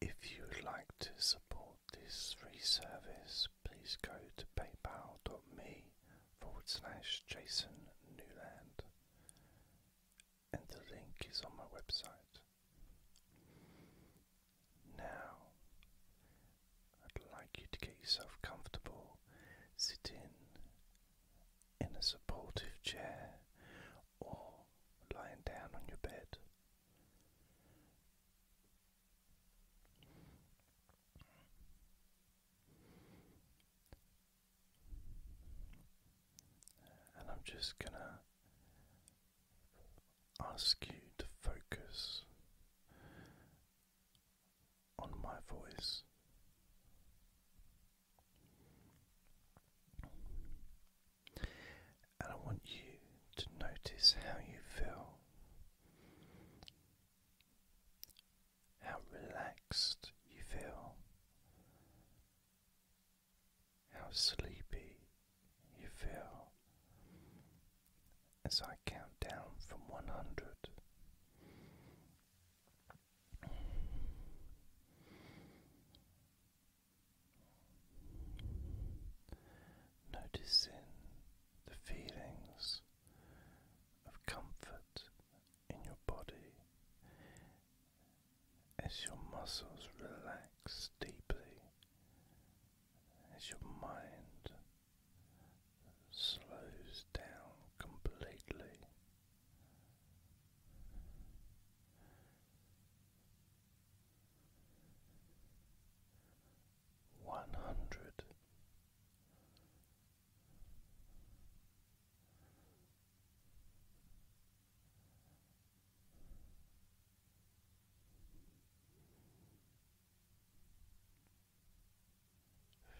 If you would like to support this free service, please go to paypal.me jasonnewland and the link is on my website. Now, I'd like you to get yourself comfortable, sit in in a supportive chair or lying down on your bed. And I'm just going to ask you to focus on my voice. And I want you to notice how you feel, how relaxed you feel, how sleepy you feel as I count down from 100. Noticing the feelings of comfort in your body as your muscles relax deeply, as your mind slows down completely one hundred.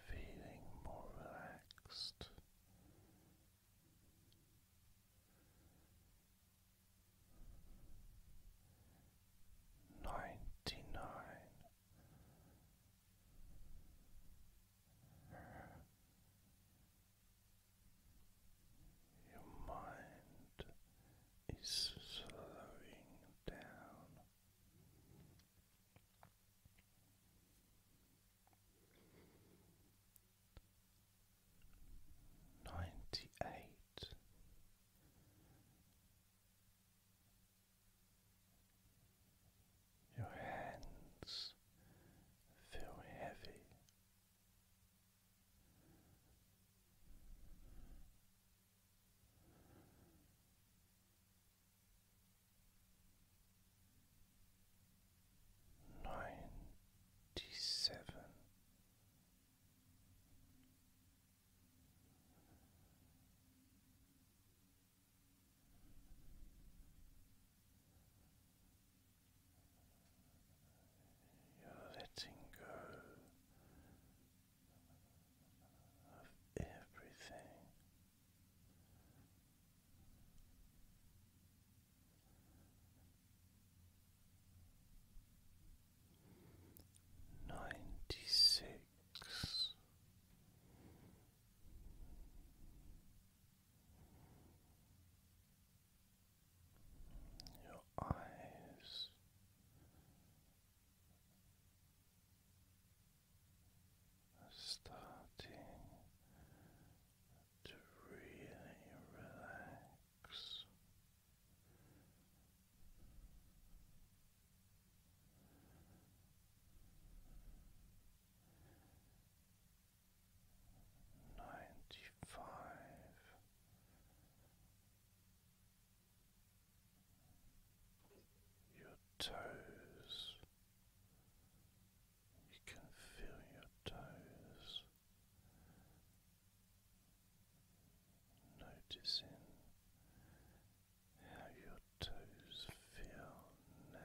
Feeling more relaxed ninety nine your mind is slowing down ninety eight. Your hands feel heavy ninety seven you're letting go of everything ninety six. Your eyes are starting to really relax. Ninety five, your toes, you can feel your toes, noticing how your toes feel now.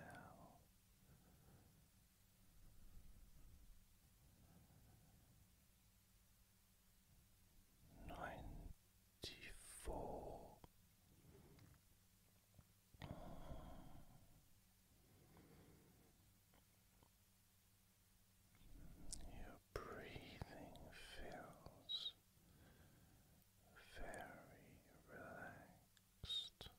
Ninety four. Your breathing feels very relaxed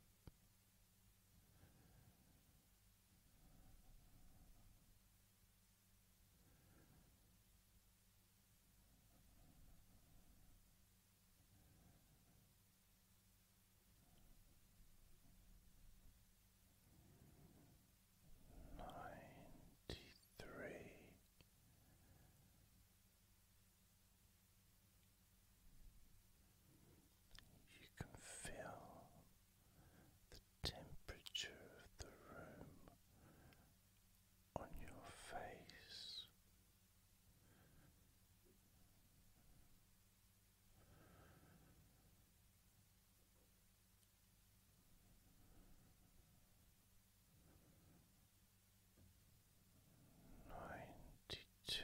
ninety three. You can feel the temperature of the room on your face Ninety two.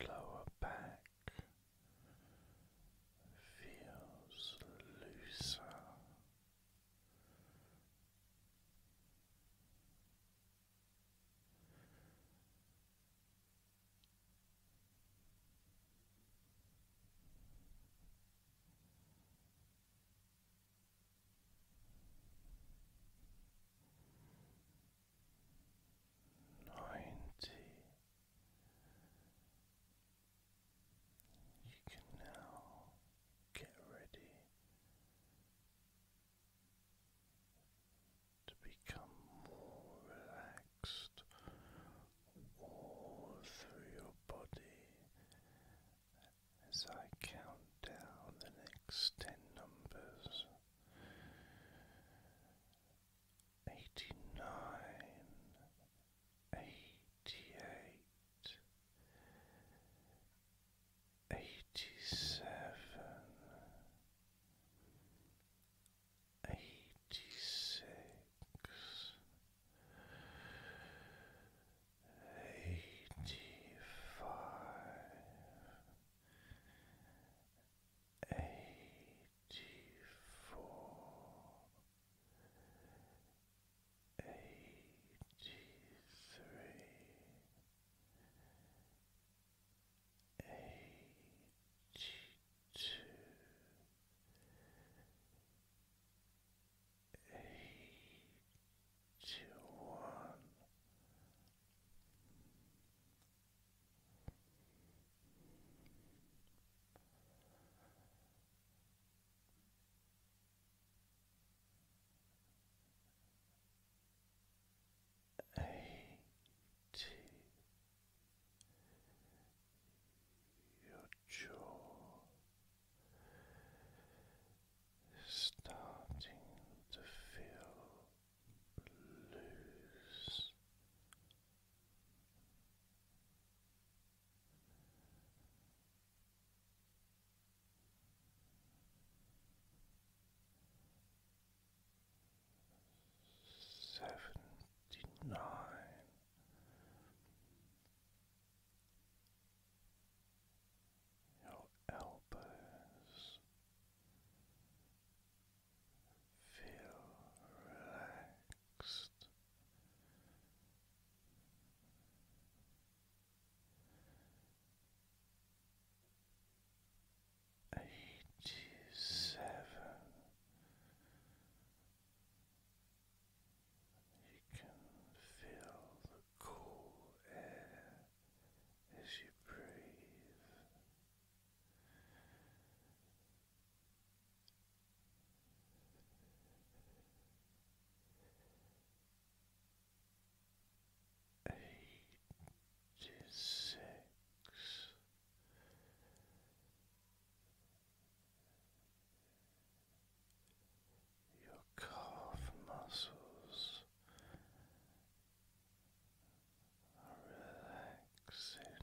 Your lower back feels looser ninety. You can now get ready to become more relaxed all through your body as I count down the next ten numbers eighty nine, eighty eight, eighty seven, eighty six, eighty five eighty four, eighty three, eighty two, eighty one. Eighty. Your jaw starting to feel loose. Seventy nine. Your elbows, Feel relaxed. Eighty seven. You can feel the cool air as you breathe. Eighty six. Your calf muscles relaxing.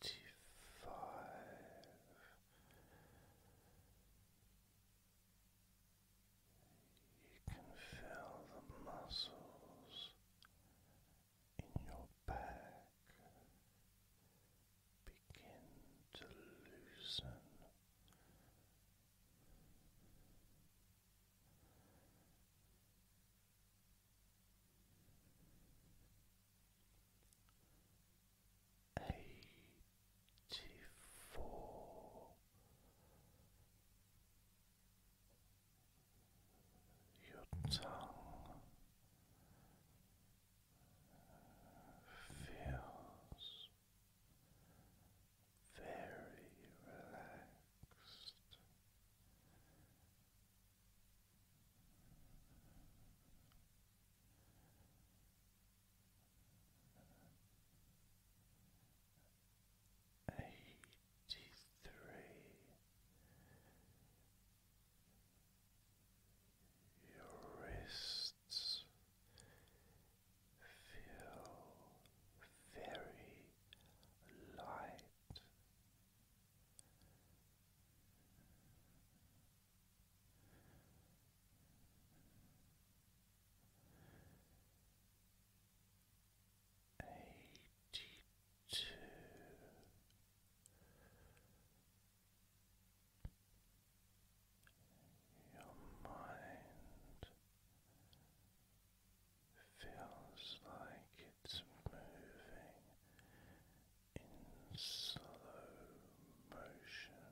Eighty five you can feel the muscles in your back begin to loosen. Eighty four your tongue feels very relaxed eighty three. Your wrists feel very light eighty two. Your mind feels like it's moving in slow motion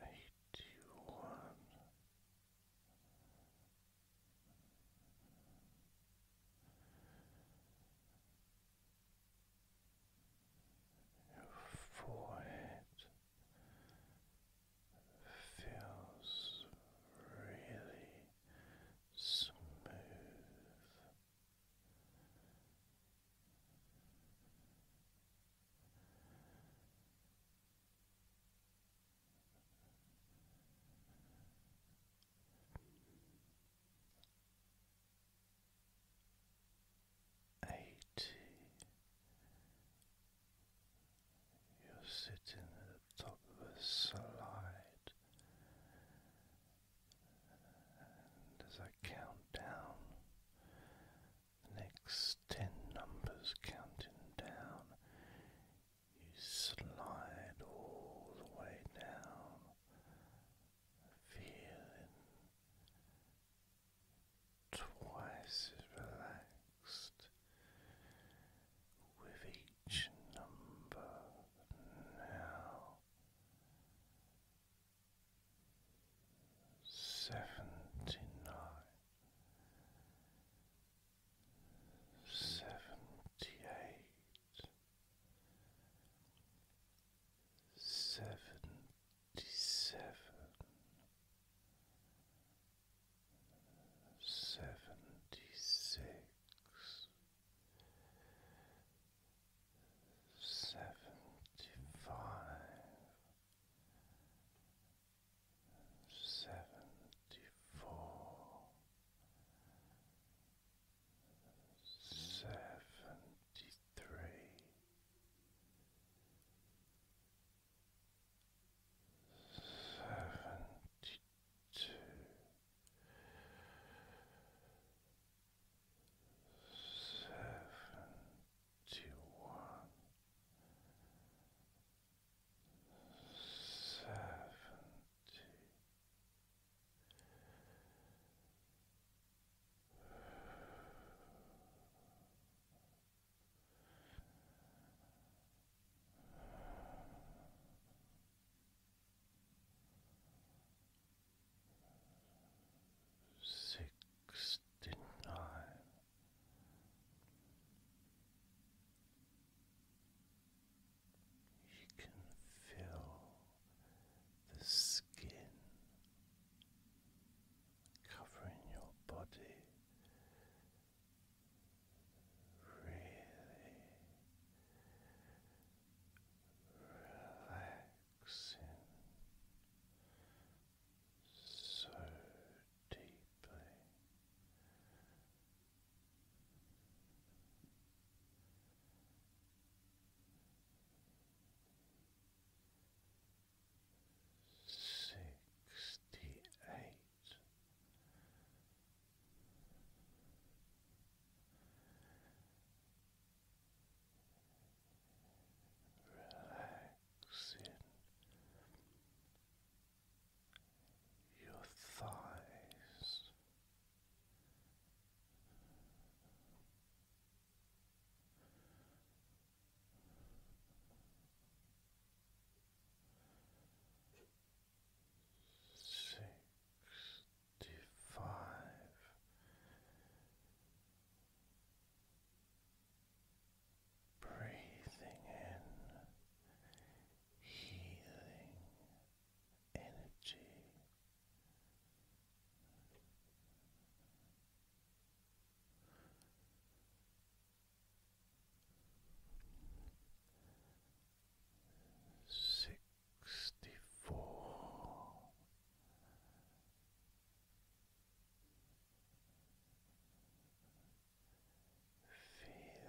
Eighty one. Your forehead feels really smooth. Eighty you're sitting at the top of a slide, and as I count down, the next ten numbers counting down, you slide all the way down, feeling twice as relaxed relaxed with each number now. Seventy nine, seventy eight, seventy seven, seventy six, seventy five, seventy four, seventy three seventy two. Seventy one, seventy Sixty nine. You can feel the skin covering your body relaxing so deeply sixty-eight relaxing your thighs sixty five. Breathing in healing energy sixty four. Feeling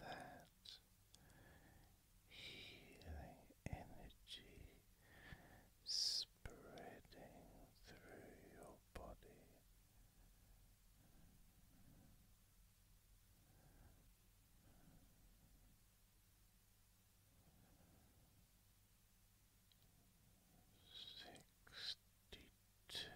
that healing energy spreading through your body, Sixty two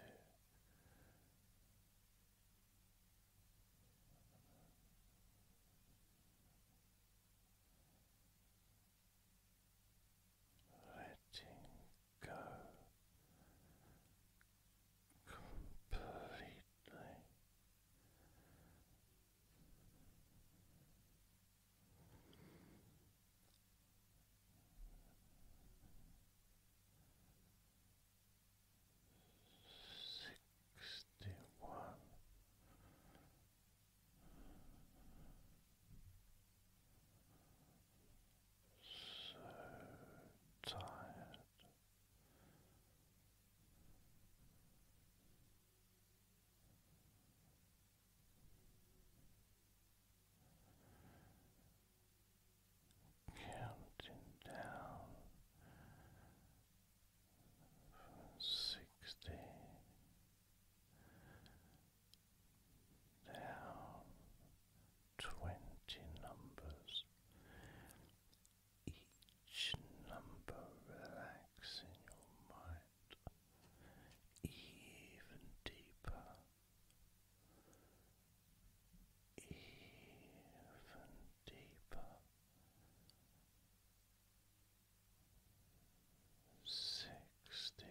letting go completely. Sixty so tired. Counting down from sixty down twenty numbers, each number relaxing your mind even deeper, even deeper. Sixty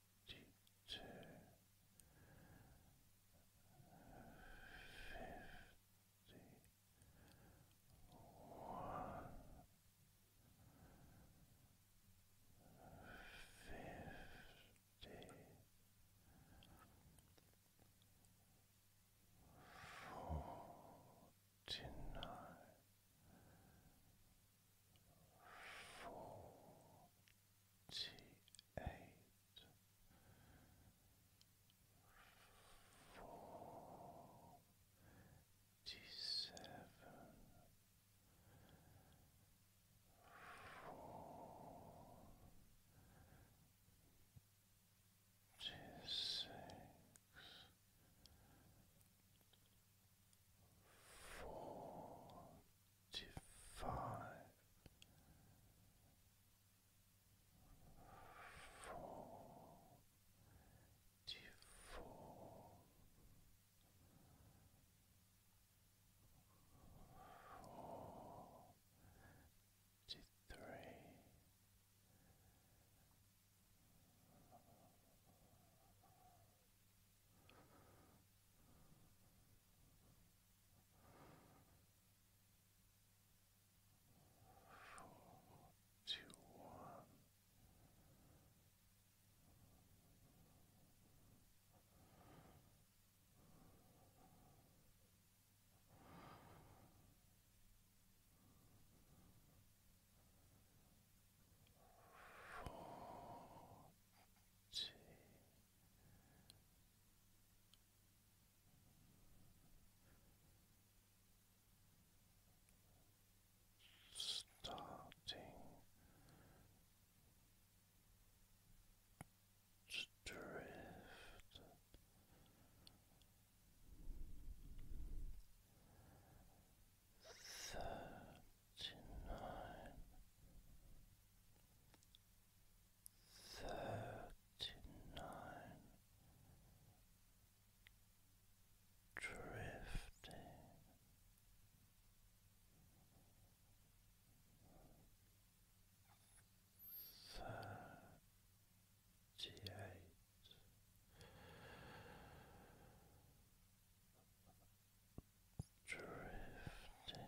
fifty-two, fifty-one, fifty. Forty-nine, forty-eight, eight, forty-seven, forty-six, forty-five to forty three. Forty forty one. Forty starting to drift thirty Twenty-nine, thirty-nine, drifting, thirty-eight drifting. Thirty-seven,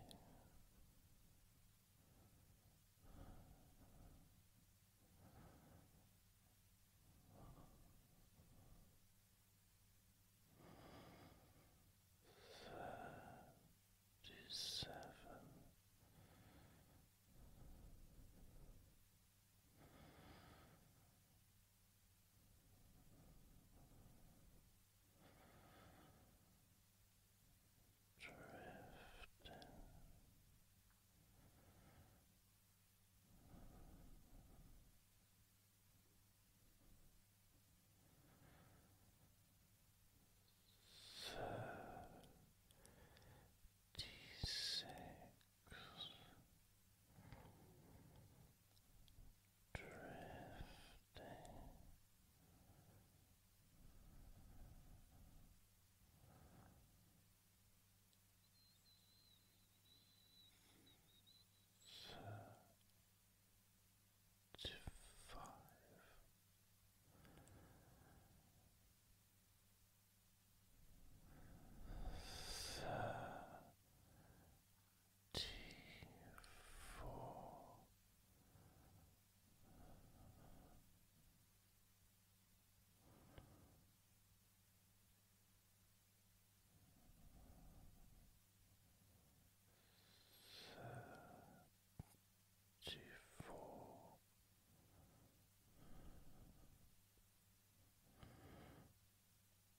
thirty-six drifting. So drifting thirty-five Thirty Thirty-four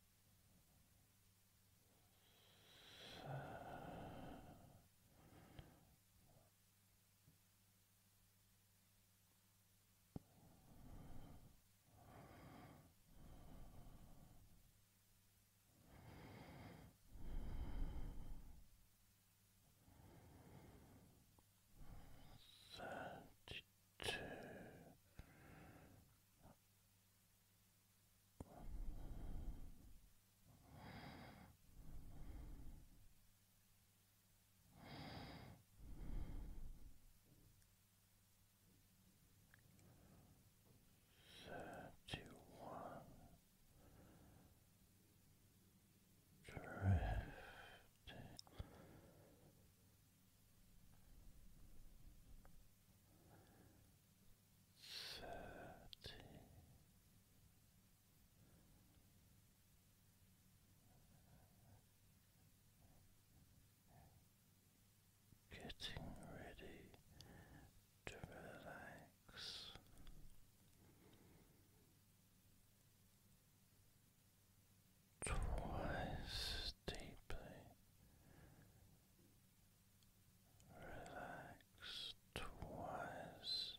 Thirty two Thirty-one drifting thirty getting ready to relax. Twice deeply Relax twice.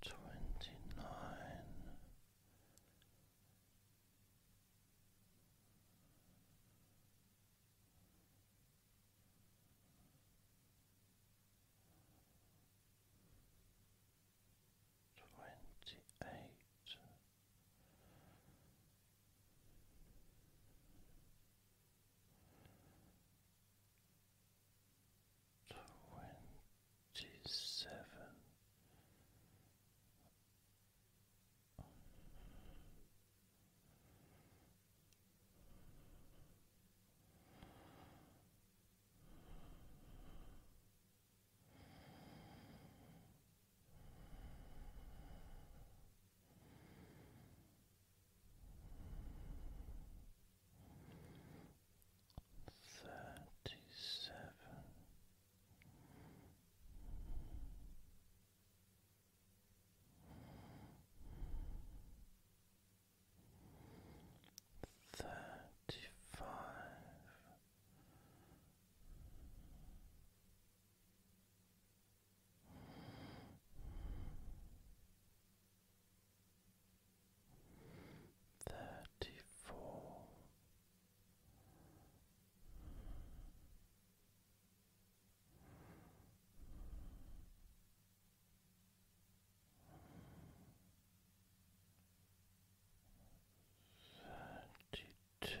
Twenty nine twenty eight twenty seven Thirty seven thirty five. Thirty four, Thirty-two.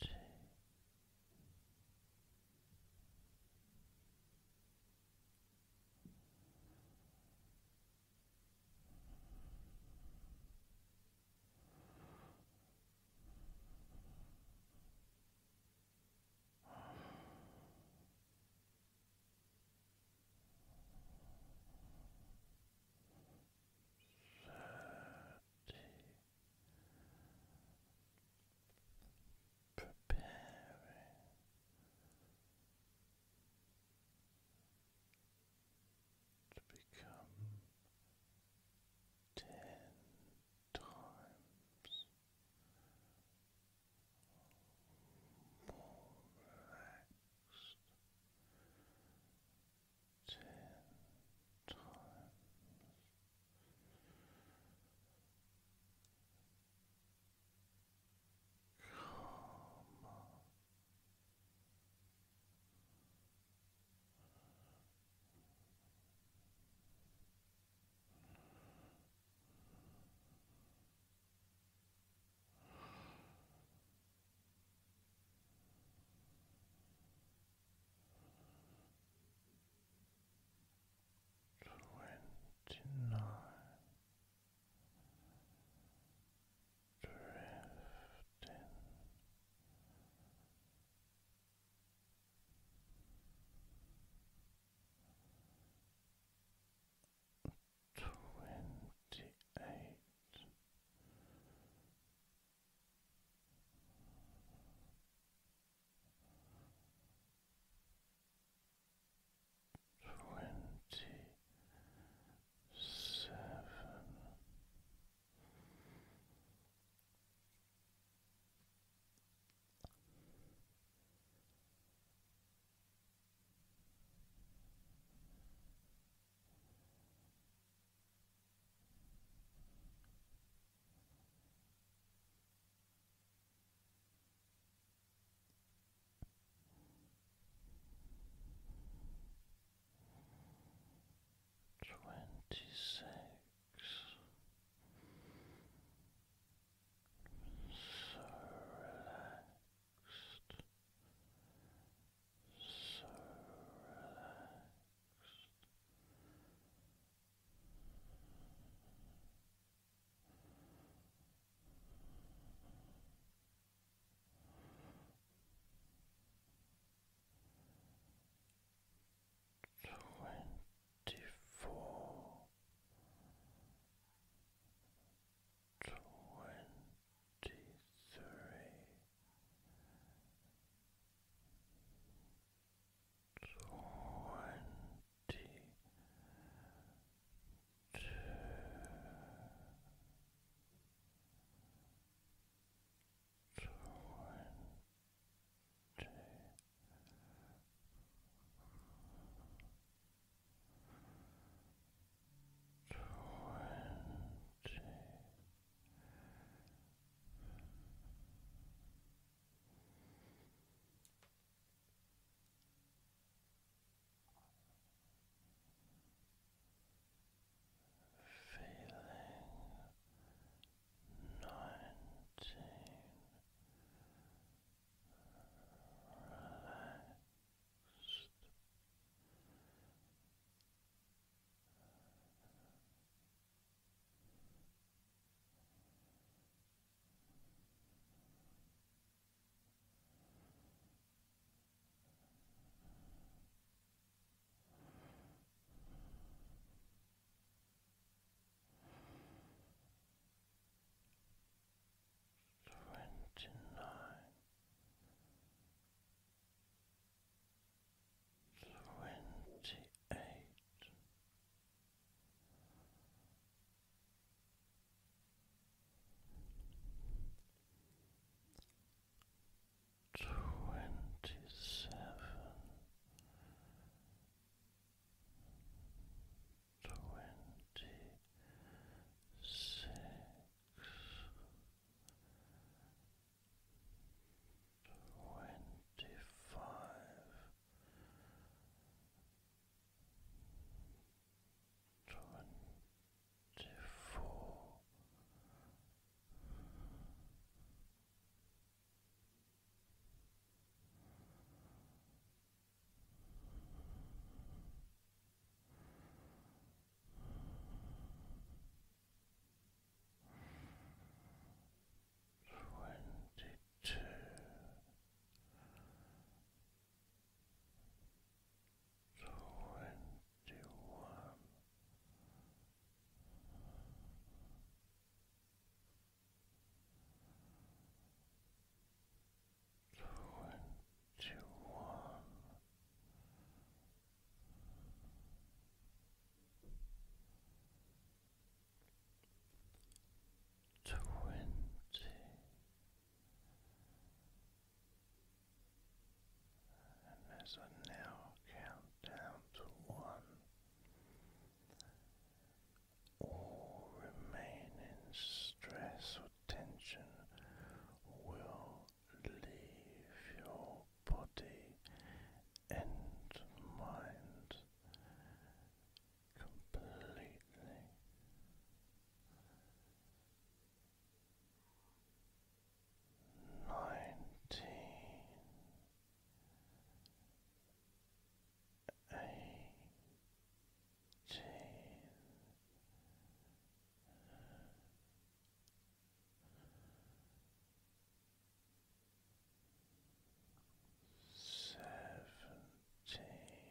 two, thirty preparing to become ten times more relaxed ten times. Calmer. Calmer twenty nine drifting. Twenty eight, Twenty seven, Twenty six, so relaxed, so relaxed. Twenty four, twenty three twenty two twenty Twenty Feeling nineteen relaxed. Twenty nine twenty eight twenty seven twenty six twenty-five, twenty-four. Twenty-three twenty-two twenty-one Twenty one, twenty and as I now count down to one, all remaining stress or tension will leave your body and mind completely. Nineteen eighteen seventeen. Twenty